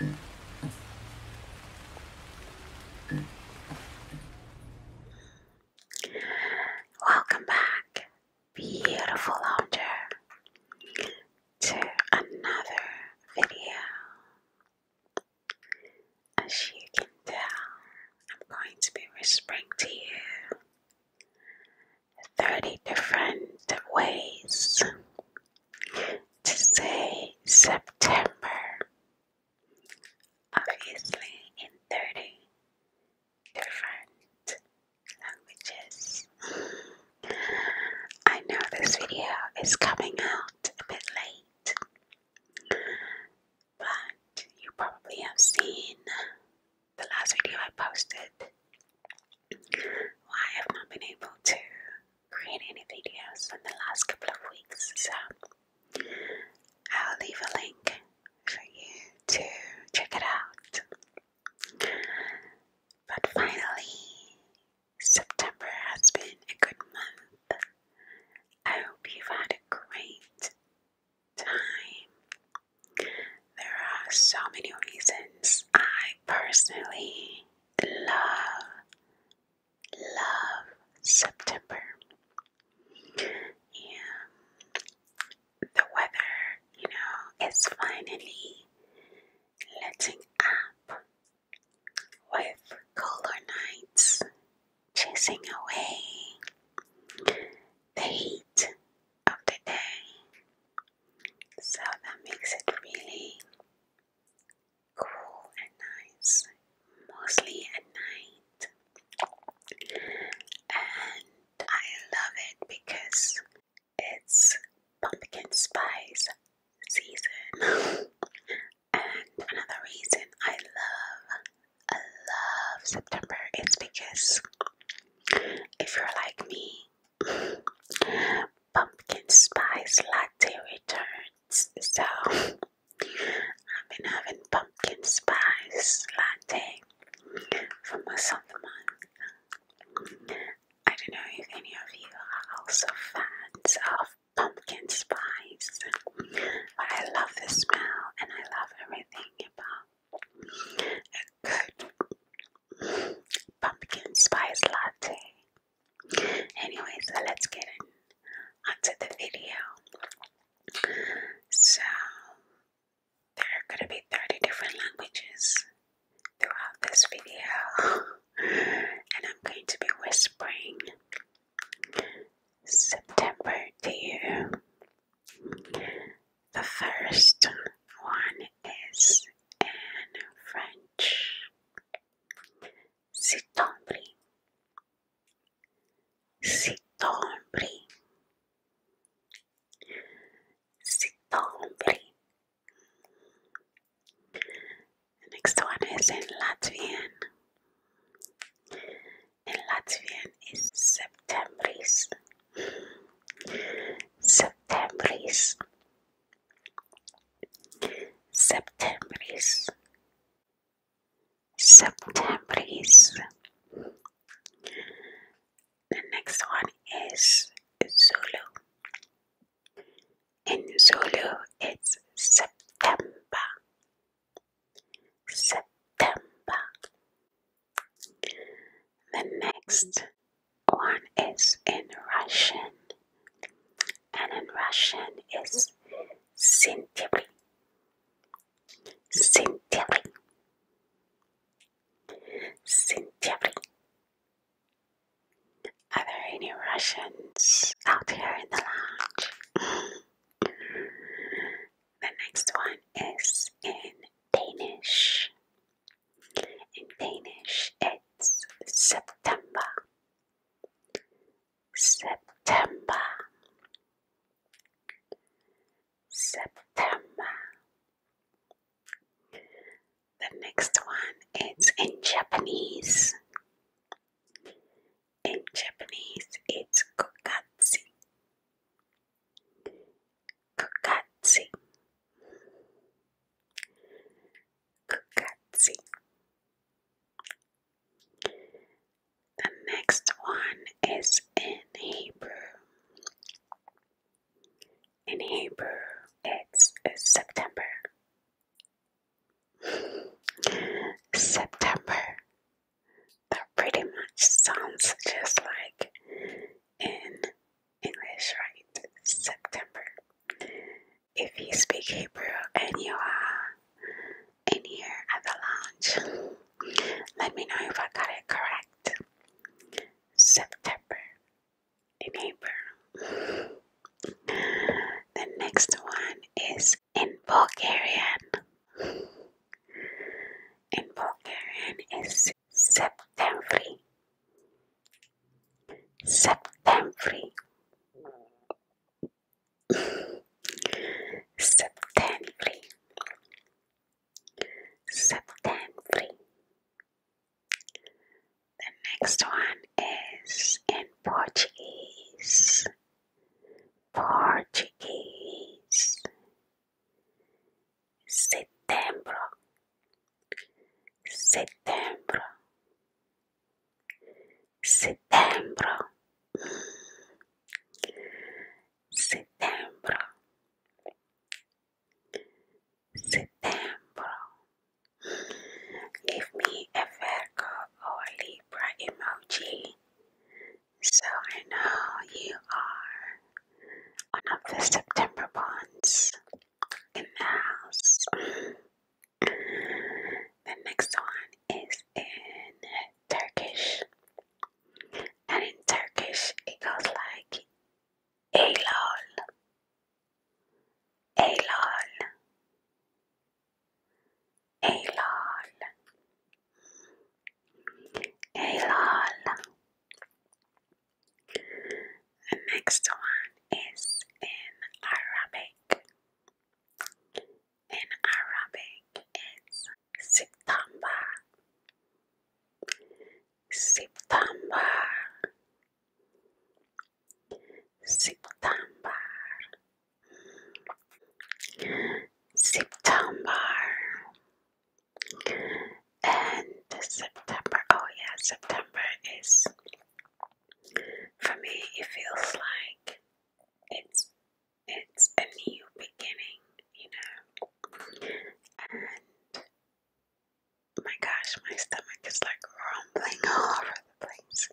Welcome back, beautiful launcher, to another video. As you can tell, I'm going to be whispering to you 30 different ways to say September. Obviously, in 30 different languages. I know this video is coming out a bit late, but you probably have seen the last video I posted. I've not been able to create videos in the last couple of weeks, so I'll leave a link for you to check it out. But finally, September has been a good month. I hope you've had a great time. There are so many reasons I personally love, love September. And the weather, you know, is finally letting up with color nights chasing away the heat of the day. So that makes it really cool and nice, mostly at night. And I love it because it's pumpkin spice season. and another reason I love, I love September is because if you're like me, pumpkin spice latte returns. So I've been having pumpkin spice latte for most of the month. I don't know if any of you are also fans of pumpkin spice, but I love the smell and I love everything about a good pumpkin spice latte. Anyway, so let's get in the video. So there are gonna be 30 different languages throughout this video and I'm going to be whispering September to you. The first one is in French. Sitombri Sitombri Sitombri The next one is in Latvian In Latvian is Septembris Septembris Septembris, Septembris. The next one is Zulu. In Zulu, it's September, September. The next one is in Russian, and in Russian is Sintiri. Sintiri. Sintiri. Are there any Russians out here in the lodge? the next one is in Danish. In Danish, it's September. September. September. The next one is in Japanese. In Japanese, it's Kokatsu. Kokatsu. The next one is in Hebrew. In Hebrew, it's September. September. That pretty much sounds just like in English, right? September if you speak Hebrew and you are in here at the lounge, let me know if I got it correct. September in Hebrew. The next one is in Bulgarian. In Bulgarian is Septemvri. September. them free. The next one is in Portuguese. Portuguese. Setembro setembro, setembro, setembro, setembro. Give me a Virgo or Libra emoji so I know you are one of the September bonds in the house. The next one is in Turkish, and in Turkish it goes like Eylol, Eylol, Eylol, Eylol. The next one is in Arabic. In Arabic, it's September. September. September. September. And September. Oh yeah, September is for me, it feels like it's it's a new beginning, you know. And my gosh, my stomach is like rumbling all over the place.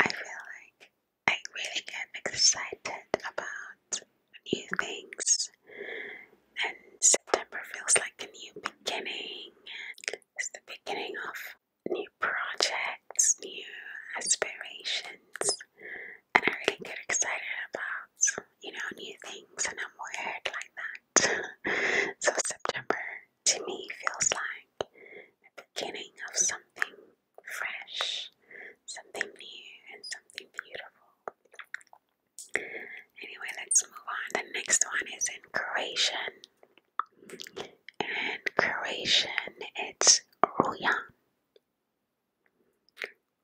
I feel like I really get excited about new things, and September feels like a new beginning. It's the beginning of new projects, new aspirations, and I really get excited about you know new things, and I'm weird like that. so September to me feels like the beginning of something fresh, something new, and something beautiful. Anyway, let's move on. The next one is in Croatian. And Croatian, it's Rujan.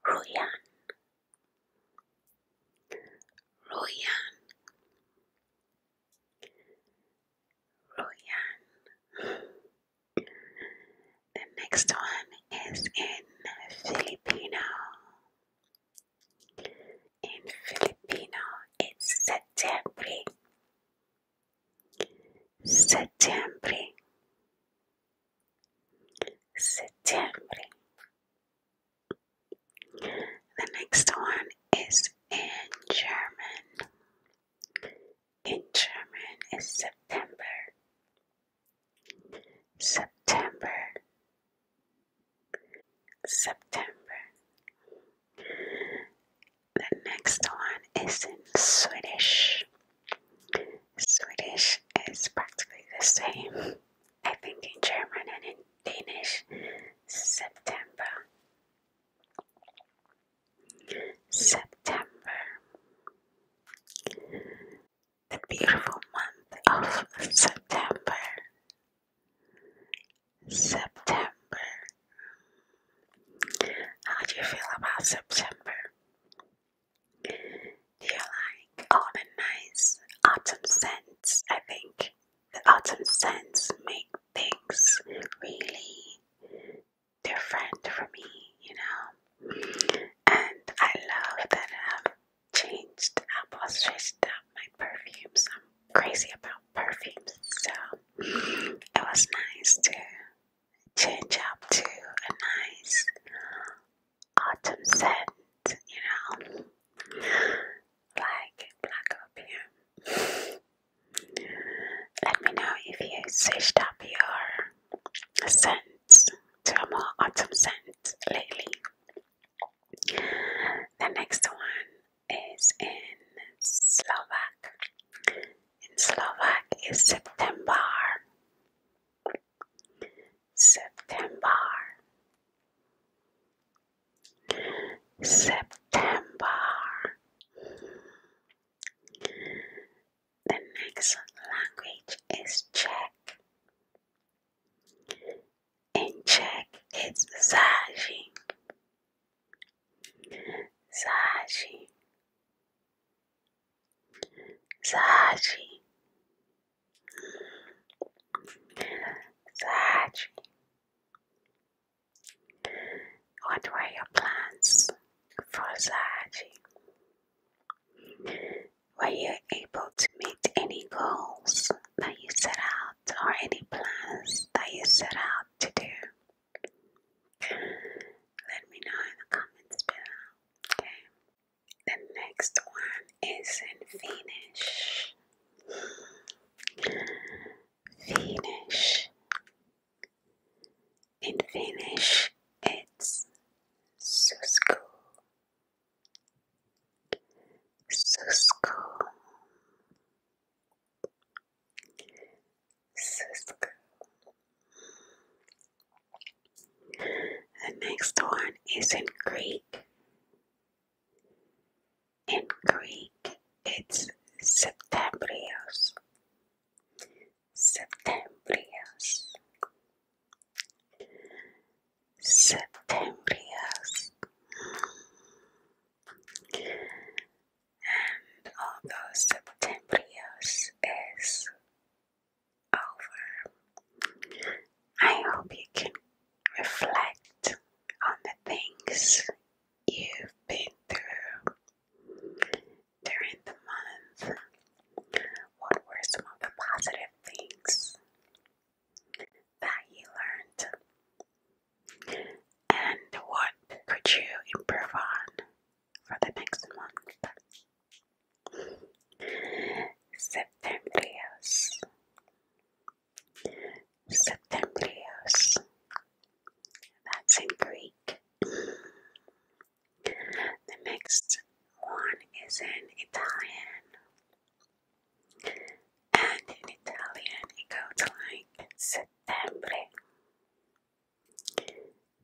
Rujan. Rujan. Rujan. The next one is in Filipino. In Filipino, it's September. September. September. The next one is in German. In German is September. September. September. The next one is in Swedish. Swedish is practically the same. I think in German and in Danish, September. September. The beautiful month of September. September. How do you feel about September? Do you like all the nice autumn scents? I think the autumn scents make things really different for me, you know. And I love that I have changed. Apple switched up my perfumes. I'm crazy about perfumes, so it was nice to change up to a nice autumn scent, you know, like black opium. Let me know if you switched up your scents to a more autumn scent lately. The next one is in Slovak. In Slovak is September. September. September. The next language is Czech and check its sagem. Sagem. Sagem. Sagem. What were your plans for Sagem? Were you able to meet any goals that you set out? or any plans that you set out to do? Let me know in the comments below. The next one is in Finnish. Finnish. In Finnish, it's susku. Cisco Cisco The next one is in Greek. In Greek it's Septembrios. Septembrios septembrias and although septembrias is over I hope you can reflect on the things you've been through during the month what were some of the positive things that you learned? And what could you improve on for the next month? Septembrios. Septembrios. That's in Greek. The next one is in Italian and in Italian it goes like September,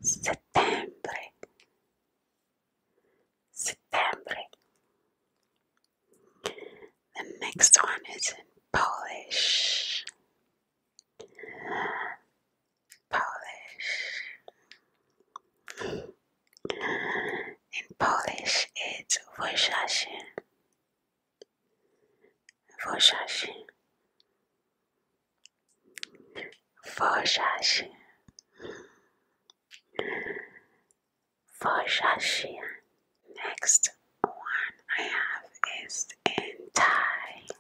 settembre, settembre. The next one is in Polish. Polish. In Polish, it's Wojsasi. Wojsasi. Wojsasi. Wojsasi. Next one I have is Entai.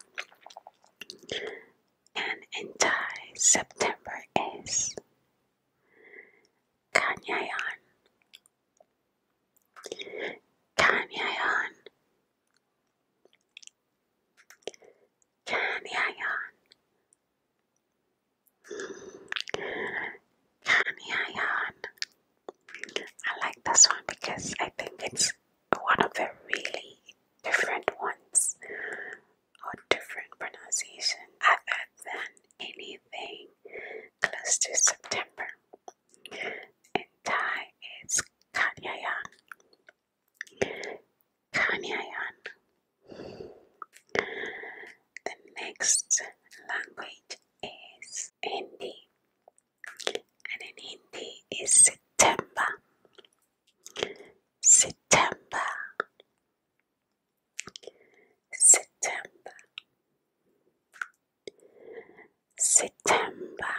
And Entai September is Kanyayan Kanyayan Kanyayan Kanyayan I like this one because I think it's one of the really different ones or different pronunciation other than anything close to September. and Thai, is Kanyayan. Kanyayan. The next language is Hindi, and in Hindi is September. September. September, September,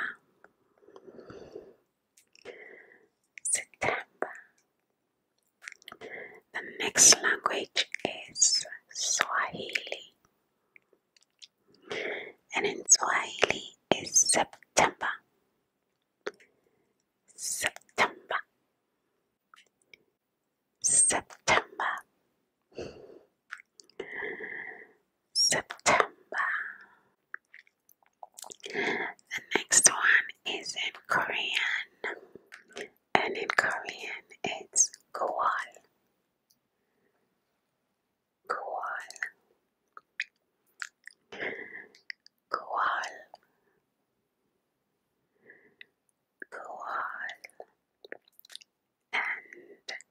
September. The next language is Swahili, and in Swahili is September. September, September, September. The next one is in Korean, and in Korean it's Gowal. Gowal. Gowal. Goal. And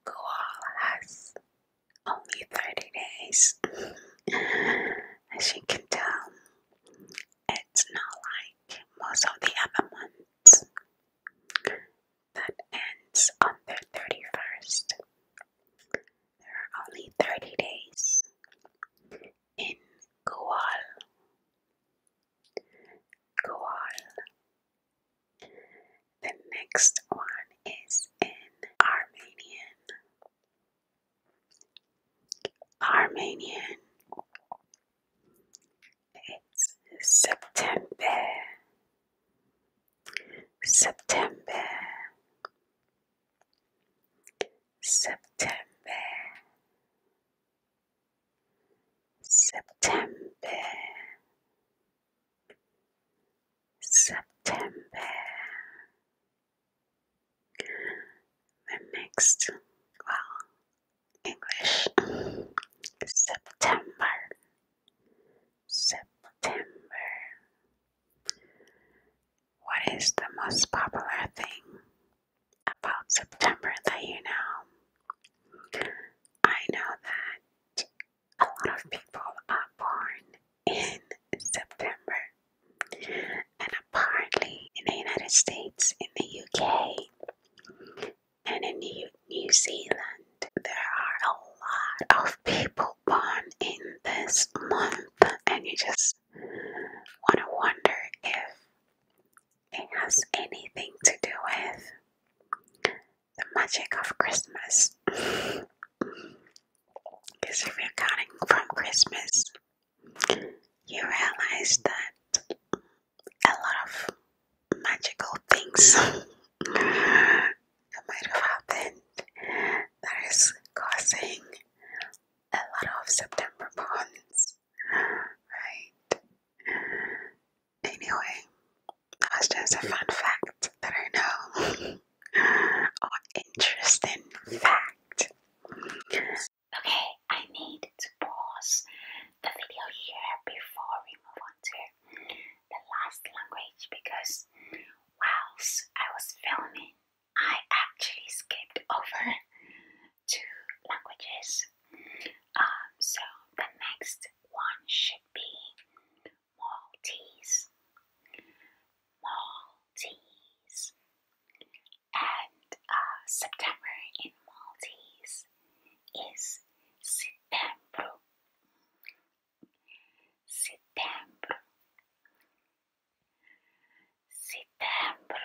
Goal has only 30 days. As you can tell, it's not like most of the other months that ends on their 31st. There are only 30 days in Goal. Goal. The next one is in Armenian. Armenian. It's September. September. September. September, September. The next, well, English, September, September. What is the most popular thing about September that you know, I know that a lot of people are born in September, and apparently in the United States, in the UK, and in New, New Zealand, there are a lot of people born in this month, and you just want to wonder if it has anything to do with the magic of Christmas. Because if you're counting from Christmas, you realize that a lot of magical things that might have happened that is causing a lot of September bonds Right. Anyway, that's just a fun fact that I know. or interesting fact. Okay, I need to pause the video here before we move on to the last language because whilst I was filming, I actually skipped over two languages. Um, so the next one should be Maltese, Maltese, and uh, September in Maltese is September. September. September.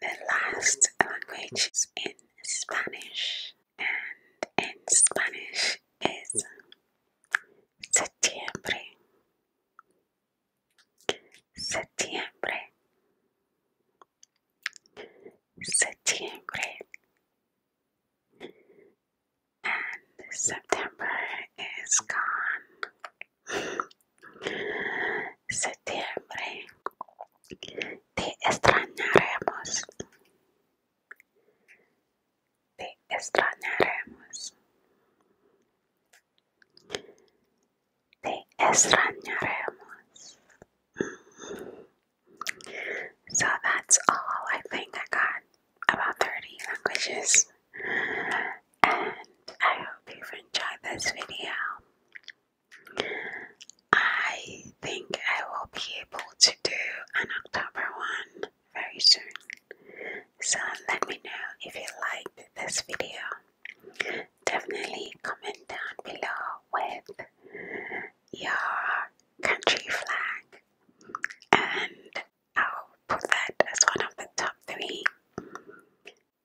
The last language is in Spanish, and in Spanish is septiembre. Septiembre. Septiembre. And September is gone. Septiembre. Te extrañaremos. Te extrañaremos. Te extrañaremos. So that's all I think I got about 30 languages and I hope you've enjoyed this video. I think I will be able to do an October one very soon. So let me know if you liked this video. Definitely comment down below with your country flag and I'll put that as one of the top three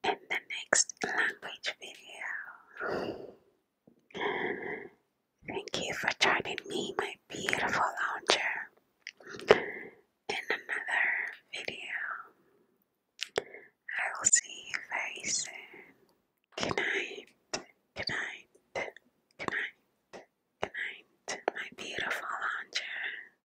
in the next language video. Thank you for joining me, my beautiful lounger, in another video. I will see you very soon. Good night, good night, my beautiful lounger.